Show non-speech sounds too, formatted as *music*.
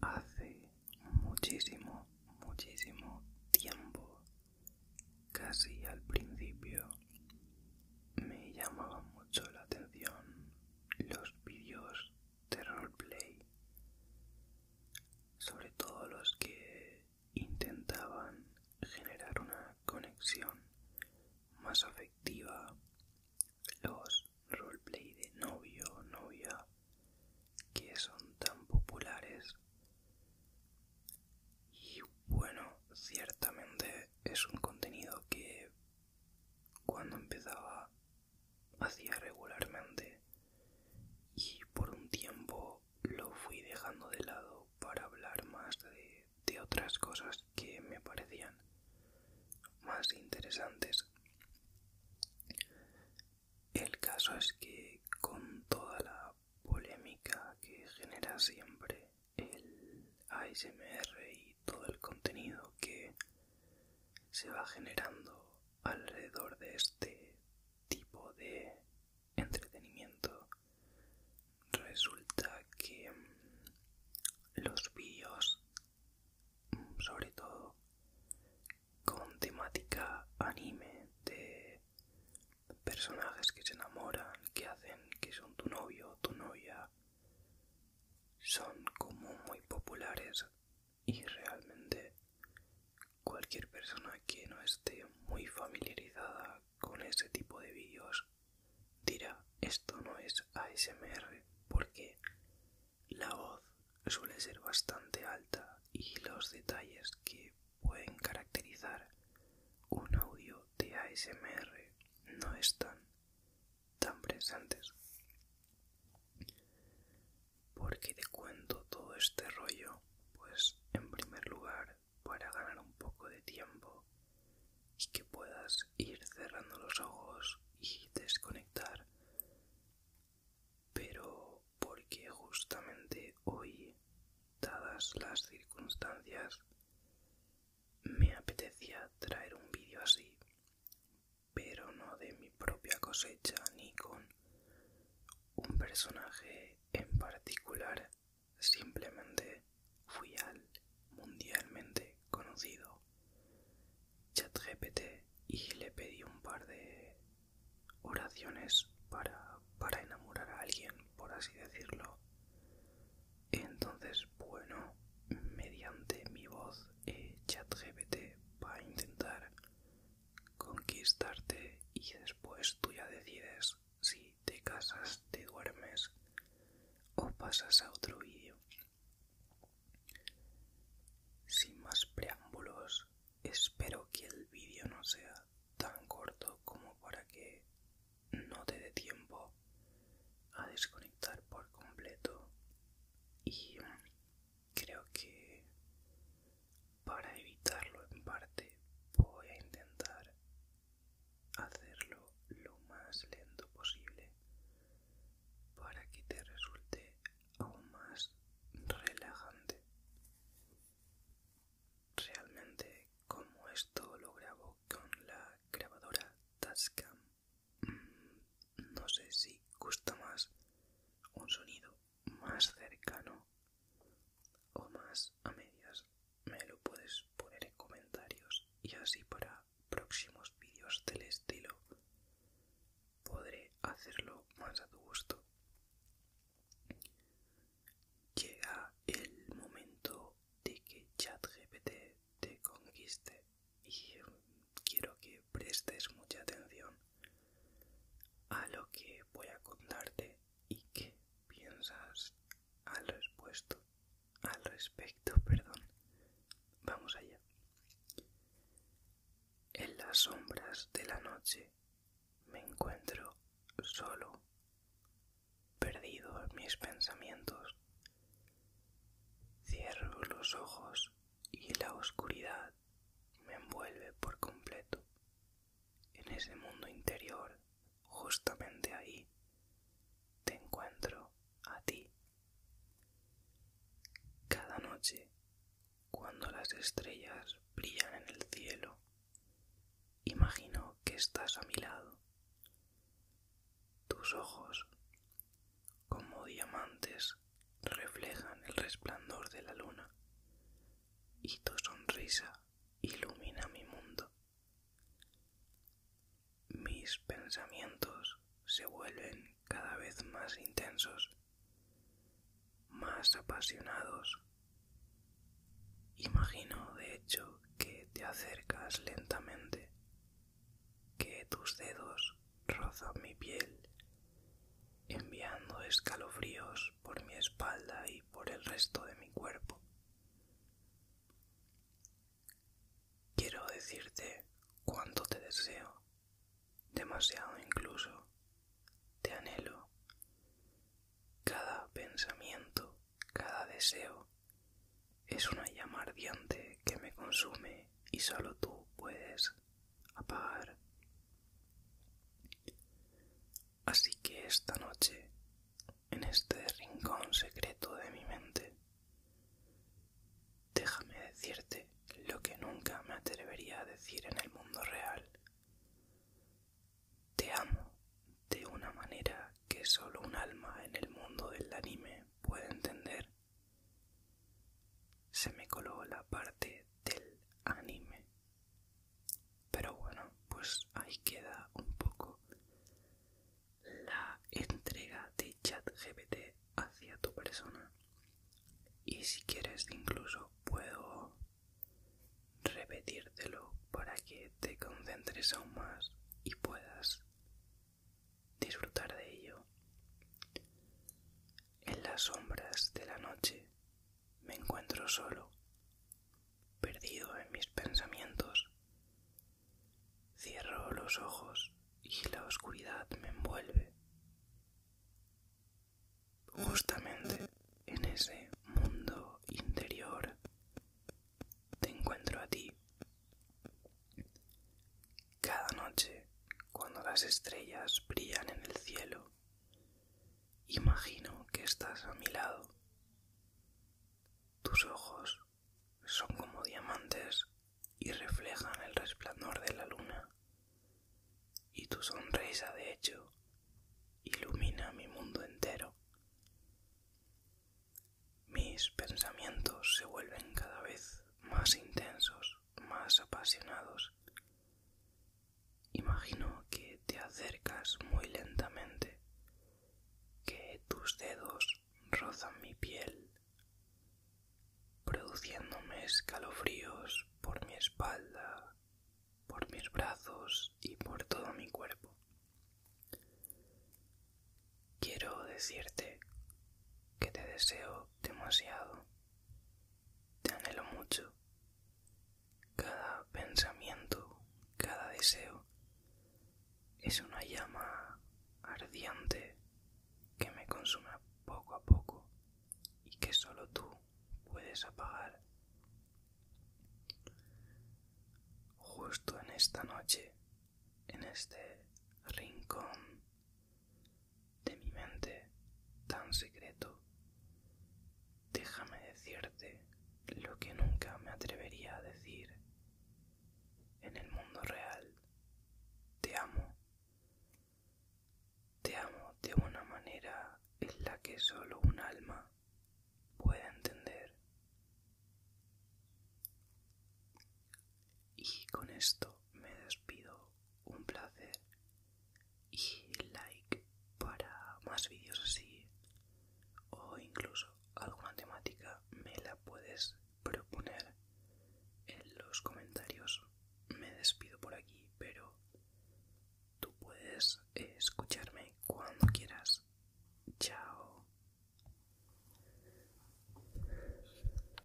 Hace muchísimo, muchísimo tiempo, casi al principio, me llamaban mucho la atención los vídeos de roleplay, sobre todo los que intentaban generar una conexión más afectiva activa los roleplay de novio o novia que son tan populares. Y bueno, ciertamente es un contenido que cuando empezaba hacía regularmente y por un tiempo lo fui dejando de lado para hablar más de de otras cosas que me parecían más interesantes. El caso es que con toda la polémica que genera siempre el ASMR y todo el contenido que se va generando alrededor de este tipo de entretenimiento resulta que mm, los vídeos mm, sobre todo con temática anime de personajes que se enamoran que hacen que son tu novio o tu novia son como muy populares y realmente cualquier persona que no esté muy familiarizada con ese tipo de vídeos dirá esto no es ASMR porque la voz suele ser bastante alta y los detalles que pueden caracterizar un audio de ASMR no están tan presentes porque te cuento todo este rollo pues en primer lugar para ganar un poco de tiempo y que puedas ir cerrando los ojos y desconectar pero porque justamente hoy dadas las circunstancias me apetecía traer un vídeo así pero no de mi propia cosecha ni con un personaje en particular simplemente fui al mundialmente conocido ChatGPT y le pedí un par de oraciones para, enamorar a alguien, por así decirlo. Entonces, bueno, mediante mi voz, chat eh, ChatGPT va a intentar conquistarte y después tú ya decides si te casas, te duermes o pasas a otro vídeo. Sin más preámbulos, espero que el vídeo no sea tan corto como para que no te dé tiempo a desconectar por completo y creo que para evitarlo en parte voy a intentar hacerlo lo más lento posible para que te resulte aún más relajante. Realmente como esto lo grabo con la grabadora Tascam, mm, no sé si gusta más un sonido más cercano o más a medias me lo puedes poner en comentarios y así para próximos vídeos del estilo podré hacerlo más a tu gusto llega el momento de que ChatGPT te conquiste y quiero que prestes mucha atención a lo que voy a contarte y qué piensas al al respecto *laughs* perdón vamos allá en las sombras de la noche me encuentro solo perdido en mis pensamientos cierro los ojos y la oscuridad me envuelve por completo en ese mundo interior, justamente ahí, te encuentro a ti. Cada noche, cuando las estrellas brillan en el cielo, imagino que estás a mi lado. Tus ojos, como diamantes, reflejan el resplandor de la luna y tu sonrisa ilumina mi mundo. Mis pensamientos se vuelven cada vez más intensos, más apasionados. Imagino, de hecho, que te acercas lentamente, que tus dedos rozan mi piel enviando escalofríos por mi espalda y por el resto de mi cuerpo. Quiero decirte cuánto te deseo, demasiado incluso, te anhelo. Cada pensamiento, cada deseo es una llama ardiente que me consume y solo tú puedes apagar Así que esta noche, en este rincón secreto de mi mente, déjame decirte lo que nunca me atrevería a decir en el mundo real. Te amo de una manera que solo un alma en el mundo del anime puede entender. Se me coló la parte del anime pero bueno, pues ahí queda un poco la entrega de ChatGPT hacia tu persona. Y si quieres, incluso puedo repetírtelo para que te concentres aún más y puedas disfrutar de ello. En las sombras de la noche me encuentro solo, perdido en mis pensamientos. Cierro los ojos y la oscuridad me envuelve. Justamente en ese mundo interior te encuentro a ti. Cada noche, cuando las estrellas brillan en el cielo, Imagino que estás a mi lado. Tus ojos son como diamantes y reflejan el resplandor de la luna. Y tu sonrisa, de hecho, ilumina mi mundo entero. Mis pensamientos se vuelven cada vez más intensos más apasionados. Imagino que te acercas muy lentamente, que tus dedos rozan mi piel, produciéndome escalofríos por mi espalda, por mis brazos y por todo mi cuerpo. Quiero decirte que te deseo demasiado te anhelo mucho. Cada pensamiento, cada deseo es una llama ardiente que me consume poco a poco y que solo tú puedes apagar. Justo en esta noche, en este rincón de mi mente tan secreto, déjame decirte lo que nunca me atrevería a decir en el mundo real. Te amo. Te amo de una manera en la que solo un alma puede entender. Y con esto me despido. Un placer. Y like para más vídeos así. O incluso alguna temática me la puedes proponer en los comentarios. Me despido por aquí, pero tú puedes escucharme cuando quieras. Chao.